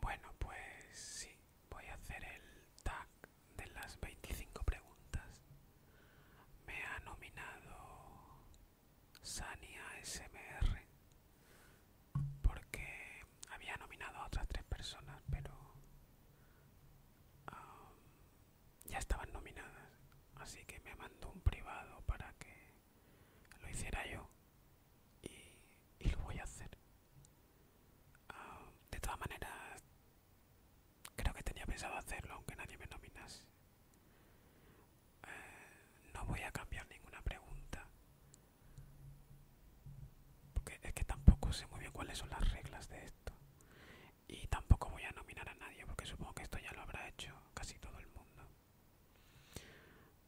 Bueno, pues sí, voy a hacer el tag de las 25 preguntas. Me ha nominado Sania SMR porque había nominado a otras tres personas, pero um, ya estaban nominadas, así que me mandó un privado para que lo hiciera yo y, lo voy a hacer. Ah, de todas maneras, creo que tenía pensado hacerlo aunque nadie me nominase. Eh, no voy a cambiar ninguna pregunta. Porque es que tampoco sé muy bien cuáles son las reglas de esto. Y tampoco voy a nominar a nadie porque supongo que esto ya lo habrá hecho casi todo el mundo.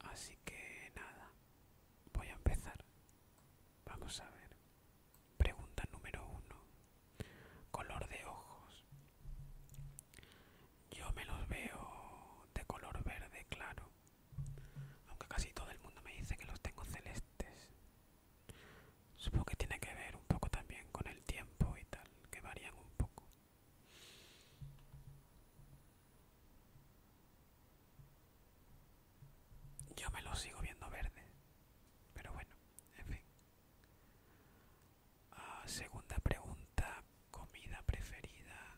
Así que nada, voy a empezar. Vamos a ver. Pregunta número uno. Color de ojos. Yo me los veo de color verde claro. Aunque casi todo el mundo me dice que los tengo celestes. Supongo que tiene que ver un poco también con el tiempo y tal, que varían un poco. Yo me lo sigo viendo verde, pero bueno, en fin. Ah, segunda pregunta, comida preferida.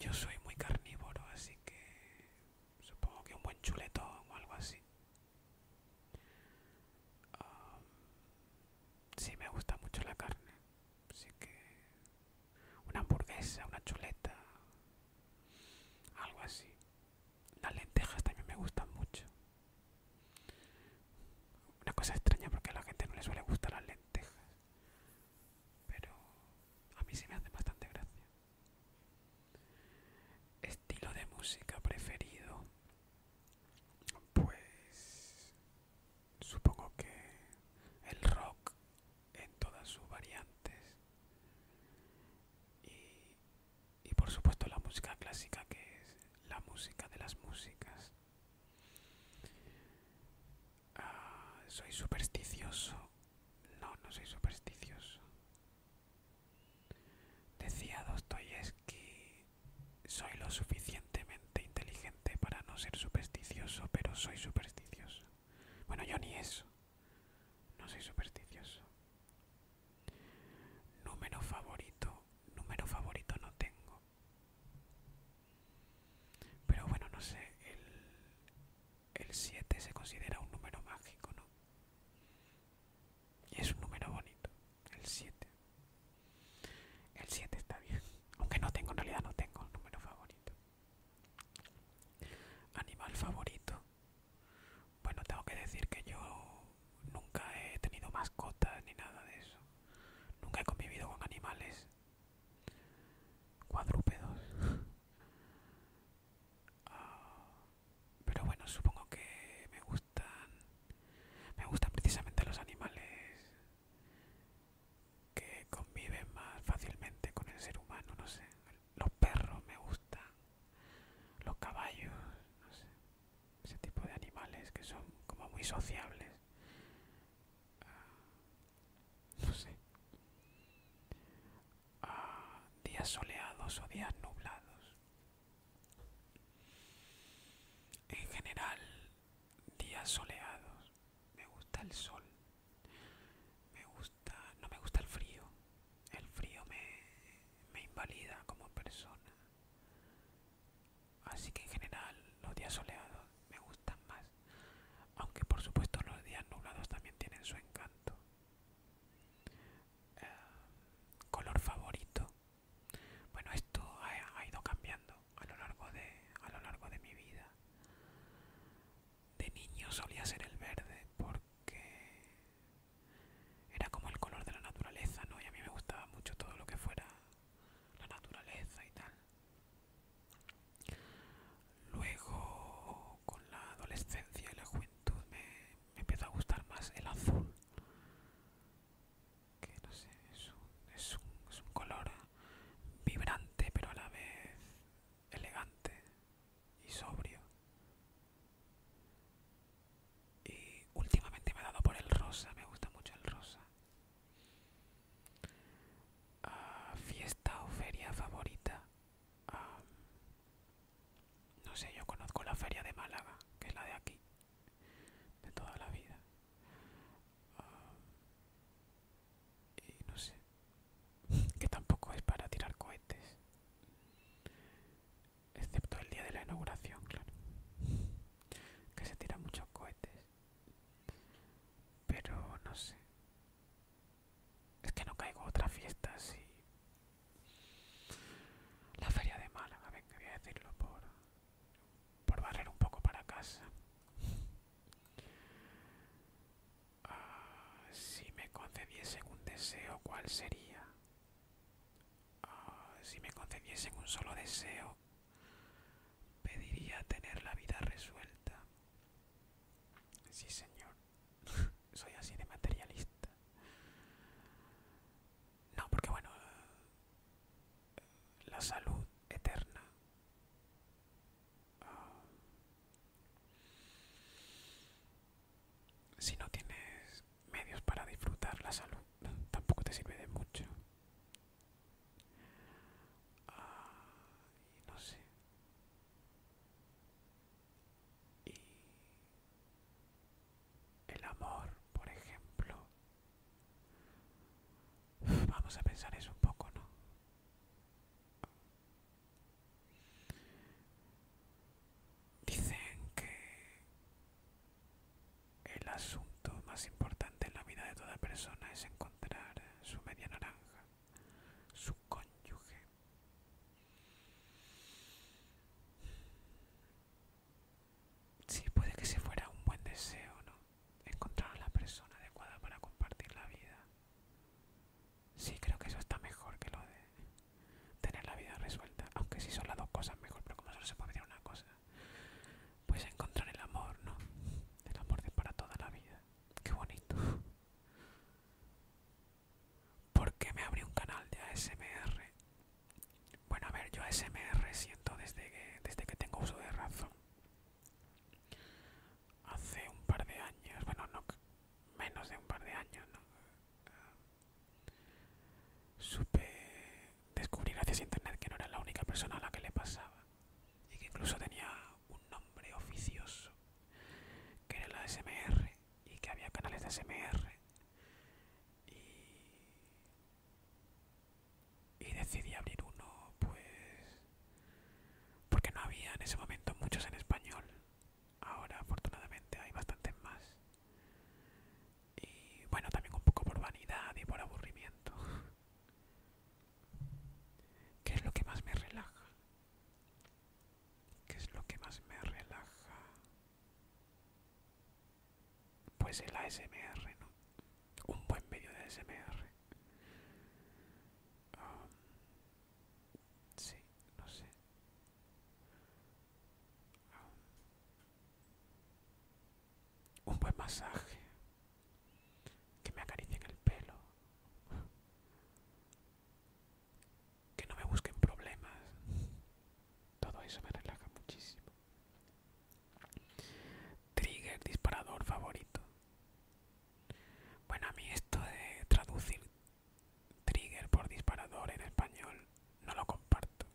Yo soy muy carnívoro, así que supongo que un buen chuletón o algo así. Ah, sí, me gusta mucho la carne. Así que una hamburguesa, una chuleta, algo así. Las lentejas también me gustan mucho. Una cosa extraña porque a la gente no le suele gustar las lentejas. Pero a mí sí me hace bastante gracia. Estilo de música preferido. Pues Supongo que el rock en todas sus variantes y, por supuesto la música clásica que es la música de las músicas. Ah, soy supersticioso. No, no soy supersticioso. Decía Dostoyevsky, soy lo suficiente inteligente para no ser supersticioso, pero soy supersticioso. Bueno, yo ni eso. No soy supersticioso. Número favorito. Número favorito no tengo. Pero bueno, no sé. El 7 se considera un número mágico, ¿no? Y es un número bonito. El 7. El 7 está bien. Aunque no tengo, en realidad no tengo el número favorito. Animal favorito. Bueno, tengo que decir que yo nunca he tenido mascotas ni nada de eso. Nunca he convivido con animales cuadrúpedos. Ah, pero bueno, supongo que me gustan. Me gustan precisamente los animales que conviven más fácilmente con el ser humano, no sé. Los perros me gustan, los caballos, no sé. Ese tipo de animales que son como muy sociables. Ah, no sé. Ah, días soleados o días nublados. En general, días soleados. Me gusta el sol. Me gusta, no me gusta el frío. El frío me, invalida como persona. Así que en general los días soleados me gustan más. Aunque por supuesto los días nublados también tienen su encanto. Eh, color favorito. Bueno, esto ha ido cambiando a lo largo de, a lo largo de mi vida. De niño solía ser el verde porque era como el color de la naturaleza, ¿no? Y a mí me gustaba mucho todo lo que fuera la naturaleza y tal. Luego, con la adolescencia y la juventud, me empezó a gustar más el azul que no sé, es un, es un, color vibrante pero a la vez elegante y sobrio. Y últimamente me ha dado por el rosa, me gusta mucho el rosa. Ah, fiesta o feria favorita. Ah, no sé, yo conozco la feria de Málaga, que es la de aquí, de toda la vida. Ah, y no sé. Que tampoco es para tirar cohetes. Excepto el día de la inauguración, claro. Que se tiran muchos cohetes. Pero no sé. Es que no caigo a otra fiesta así. La feria de Málaga, venga, voy a decirlo por por barrer un poco para casa. Ah, si me concediesen un deseo, ¿cuál sería? Ah, si me concediesen un solo deseo, pediría tener la vida resuelta. Sí, señor. Soy así de materialista. No, porque bueno, la salud eterna. Ah, si no tienes medios para disfrutar la salud, tampoco te sirve de mucho. Ah, y no sé. Y el amor, por ejemplo, Vamos a pensar eso un poco, ¿no? Dicen que el asunto más importante en la vida de toda persona es encontrar su media naranja, su cónyuge. Sí, puede que se fuera un buen deseo, ¿no? Encontrar a la persona adecuada para compartir la vida. Sí, creo que eso está mejor que lo de tener la vida resuelta. Aunque si sí son las dos cosas mejor, pero como solo se puede pedir una cosa, pues encontrar el amor, ¿no? El amor de para toda la vida. Qué bonito. ¿Por qué me abrí un canal de ASMR? Bueno, a ver, yo ASMR siento desde desde que tengo uso de razón hace un par de años, bueno, no menos de un par de años, ¿no? supe descubrir gracias a internet que no era la única persona a la que le pasaba y que incluso tenía un nombre oficioso que era la SMR y que había canales de SMR y y decidí abrir uno pues porque no había en ese momento muchos en español ahora afortunadamente hay bastantes más y bueno también un poco por vanidad y por aburrimiento ¿Qué es lo que más me relaja? ¿Qué es lo que más me relaja? Pues el ASMR, ¿no? un buen medio de SMR. sí, no sé. un buen masaje. Que me acaricien el pelo. Que no me busquen problemas. Todo eso me relaja muchísimo. Trigger disparador favorito. Bueno, a mí esto de traducir trigger por disparador en español no lo comparto.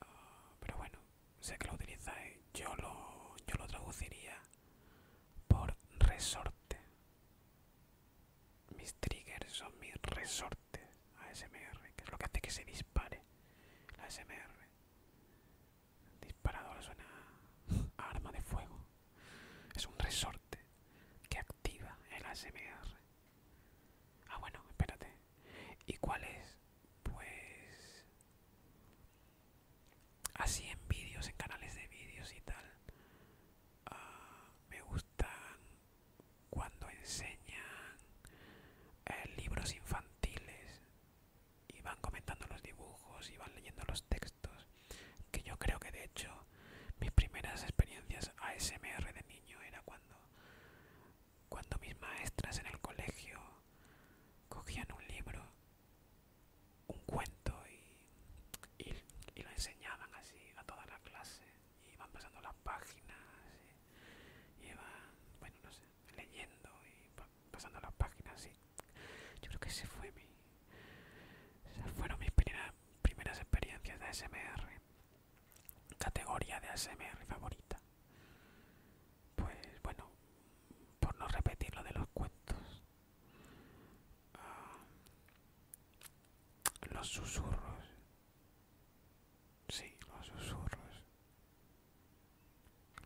Ah, pero bueno, sé que lo utilizáis. ¿eh? Yo lo, yo lo traduciría por resorte. Mis triggers son mis resortes ASMR, que es lo que hace que se dispare la ASMR. Disparador suena arma de fuego. Es un resorte que activa el ASMR. Ah, bueno, espérate. ¿Y cuál es? Pues... Así en vídeos, en canales de vídeos y tal. Ah, me gustan cuando enseñan eh, libros infantiles y van comentando los dibujos y van leyendo los textos que yo creo que de hecho mis primeras experiencias ASMR de niño era cuando cuando mis maestras en el colegio cogían un libro un cuento y, lo enseñaban así a toda la clase y iban pasando las páginas y, van bueno no sé leyendo y pasando las páginas sí yo creo que ese fue mi fueron mis primeras, primeras experiencias de SMR categoría de SMR favorita pues bueno por no repetir lo de los cuentos ah, los susurros sí los susurros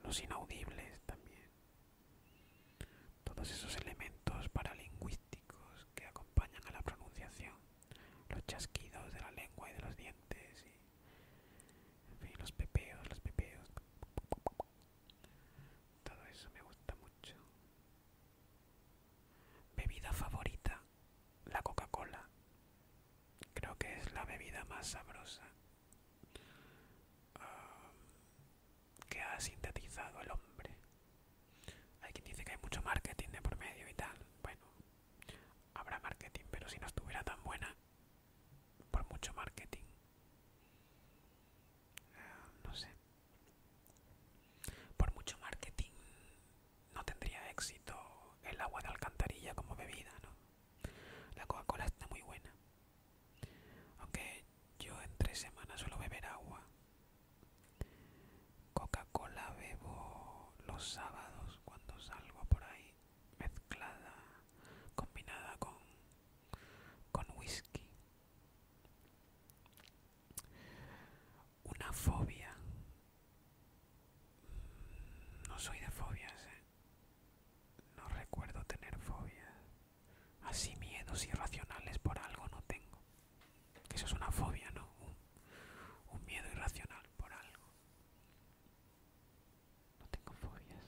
los inaudibles también, todos esos elementos paralingüísticos que acompañan a la pronunciación, los chasquidos de la lengua y de los dientes, y, en fin, los pepeos, los pepeos, todo eso me gusta mucho. Bebida favorita, la Coca-Cola. Creo que es la bebida más sabrosa Ah, que ha sintetizado el hombre. Hay quien dice que hay mucho marketing de por medio y tal. Bueno, habrá marketing, pero si no estuviera tan buena, por mucho marketing. Ah, no sé. Por mucho marketing no tendría éxito el agua de alcantarilla como bebida, ¿no? La Coca-Cola está muy buena. Aunque yo en tres semanas suelo beber agua. Coca-Cola bebo los sábados cuando salgo por ahí, mezclada, combinada con, con whisky. Una fobia. Mm, no soy de fobias, ¿eh? No recuerdo tener fobias, Así miedos irracionales por algo no tengo. eso es una fobia, ¿no? Un, miedo irracional por algo. No tengo fobias.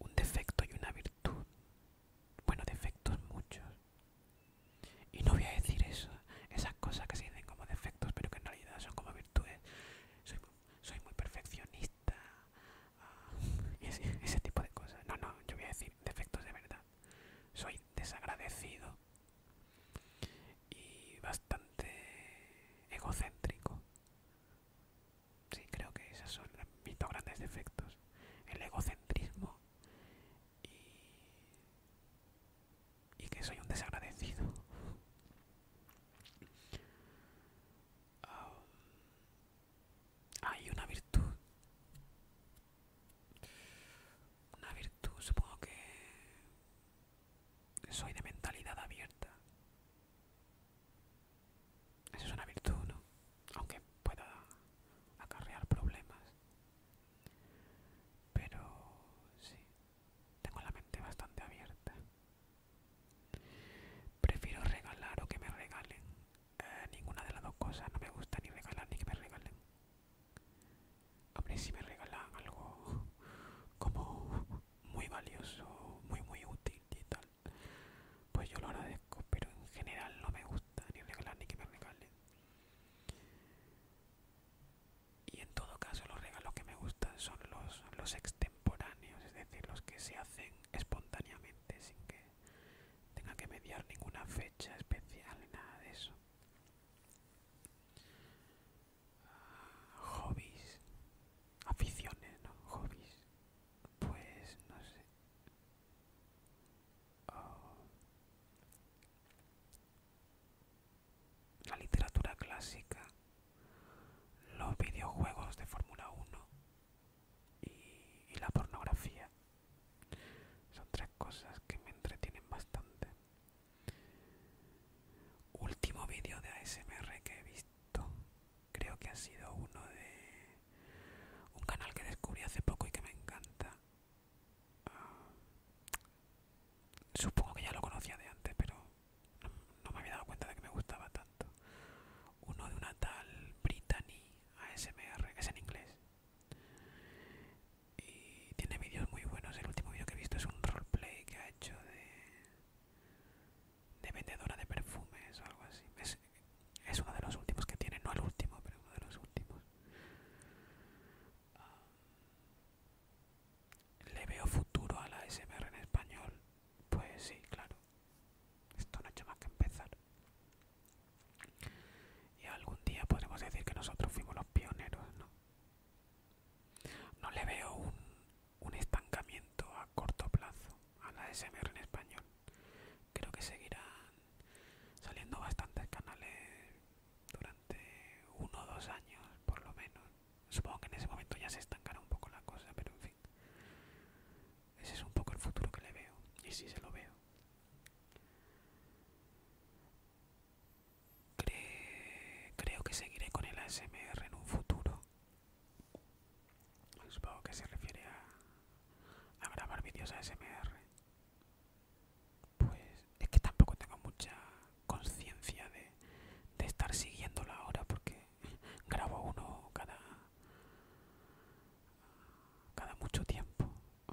Un defecto y una virtud. Bueno, defectos muchos. Y no voy a decir eso, esas cosas que se dicen como defectos, pero que en realidad son como virtudes soy muy perfeccionista, ah, ese, ese tipo de cosas. No, no, yo voy a decir defectos de verdad. Soy desagradecido y bastante egocéntrico. Sí, creo que esos son mis dos grandes defectos. El egocentrismo y, y que soy un desagradecido. Ah, hay una virtud. Una virtud, supongo que soy de mentalidad abierta. Eso es una virtud, ¿no? Aunque pueda acarrear problemas. Pero sí, tengo la mente bastante abierta. Prefiero regalar o que me regalen. Eh, ninguna de las dos cosas. No me gusta ni regalar ni que me regalen. Hombre, si me regalan algo como muy valioso, muy muy útil y tal, pues yo lo agradezco. Pero en general no me gusta ni regalar ni que me regalen y en todo caso los regalos que me gustan son los, los extemporáneos, es decir, los que se hacen espontáneamente sin que tenga que mediar ninguna fecha especial, nada de eso. Ah, hobbies, aficiones, ¿no? Hobbies, pues no sé. Oh la literatura clásica, los videojuegos de Fórmula 1 y, la pornografía. Son tres cosas que me entretienen bastante. Último vídeo de ASMR que he visto, creo que ha sido uno de un canal que descubrí hace poco y que me encanta. Ah, Supongo que ya lo conocía de antes, pero no, me había dado cuenta de que me gustaba tanto. Uno de una tal Brittany ASMR, que es en inglés. Y tiene vídeos muy buenos. El último vídeo que he visto es un roleplay que ha hecho de, de vendedora de perfumes o algo así. Es, uno de los últimos que tiene, no el último, pero uno de los últimos. ¿Le veo futuro a la SMR en español? Pues sí, claro. Esto no ha hecho más que empezar. Y algún día podremos decir que nosotros fuimos los pioneros, ¿no? No le veo un, estancamiento a corto plazo a la SMR en español. Creo que seguirán saliendo bastantes canales durante uno o dos años, por lo menos. Supongo que en ese momento ya se estancará un poco la cosa, pero en fin. Ese es un poco el futuro que le veo, y si se lo veo. creo que seguiré con el ASMR en un futuro. Supongo que se refiere a, a grabar vídeos ASMR. Pues es que tampoco tengo mucha conciencia de, de estar siguiéndola ahora porque grabo uno cada cada mucho tiempo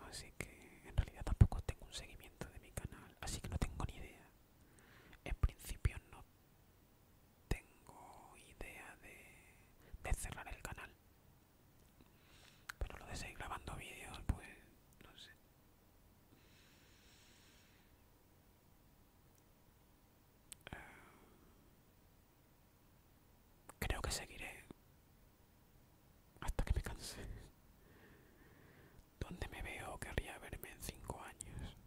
así que en realidad tampoco tengo un seguimiento de mi canal así que no tengo ni idea en principio no tengo idea de, de cerrar el canal pero lo de seguir grabando vídeos pues no sé eh, creo que seguiré hasta que me canse. ¿Dónde me veo? Querría verme en cinco años.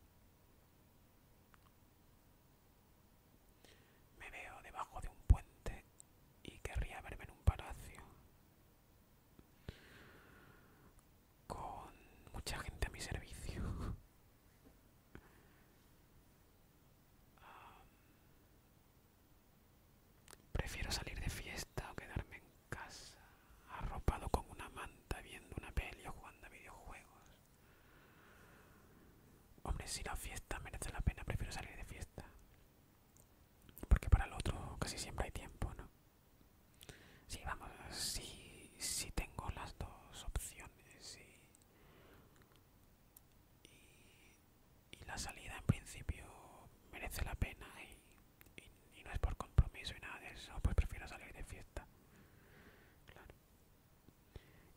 Me veo debajo de un puente y querría verme en un palacio con mucha gente a mi servicio. prefiero salir de fiesta o quedarme en casa, arropado con una manta, viendo una peli o jugando a videojuegos. Hombre, si la fiesta merece la pena, prefiero salir de fiesta. Porque para el otro casi siempre hay tiempo, ¿no? Sí, vamos, si sí, tengo las dos opciones y, la salida en principio merece la pena y, no es por compromiso y nada de eso, pues prefiero salir de fiesta.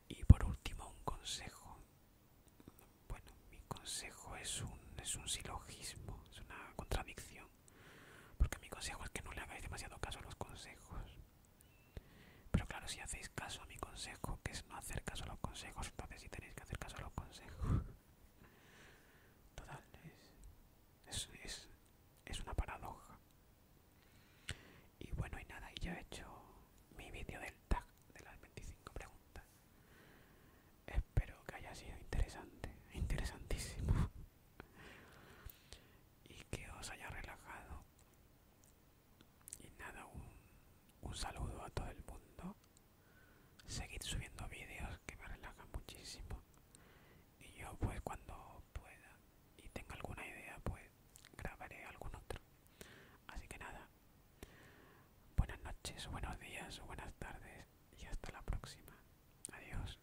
Y por último un consejo. Bueno, mi consejo es un, es un silogismo, es una contradicción. Porque mi consejo es que no le hagáis demasiado caso a los consejos. Pero claro, si hacéis caso a mi consejo, que es no hacer caso a los consejos, entonces si tenéis que hacer caso a los consejos. Total, es, es, es, es una paradoja. Y bueno, y nada, y ya he hecho mi vídeo del tag de las 25 preguntas. Espero que haya sido interesante, interesantísimo y que os haya relajado y nada un, saludo a todo el mundo seguid subiendo vídeos que me relajan muchísimo y yo pues cuando pueda y tenga alguna idea pues grabaré algún otro así que nada buenas noches buenos días buenas tardes y hasta la próxima adiós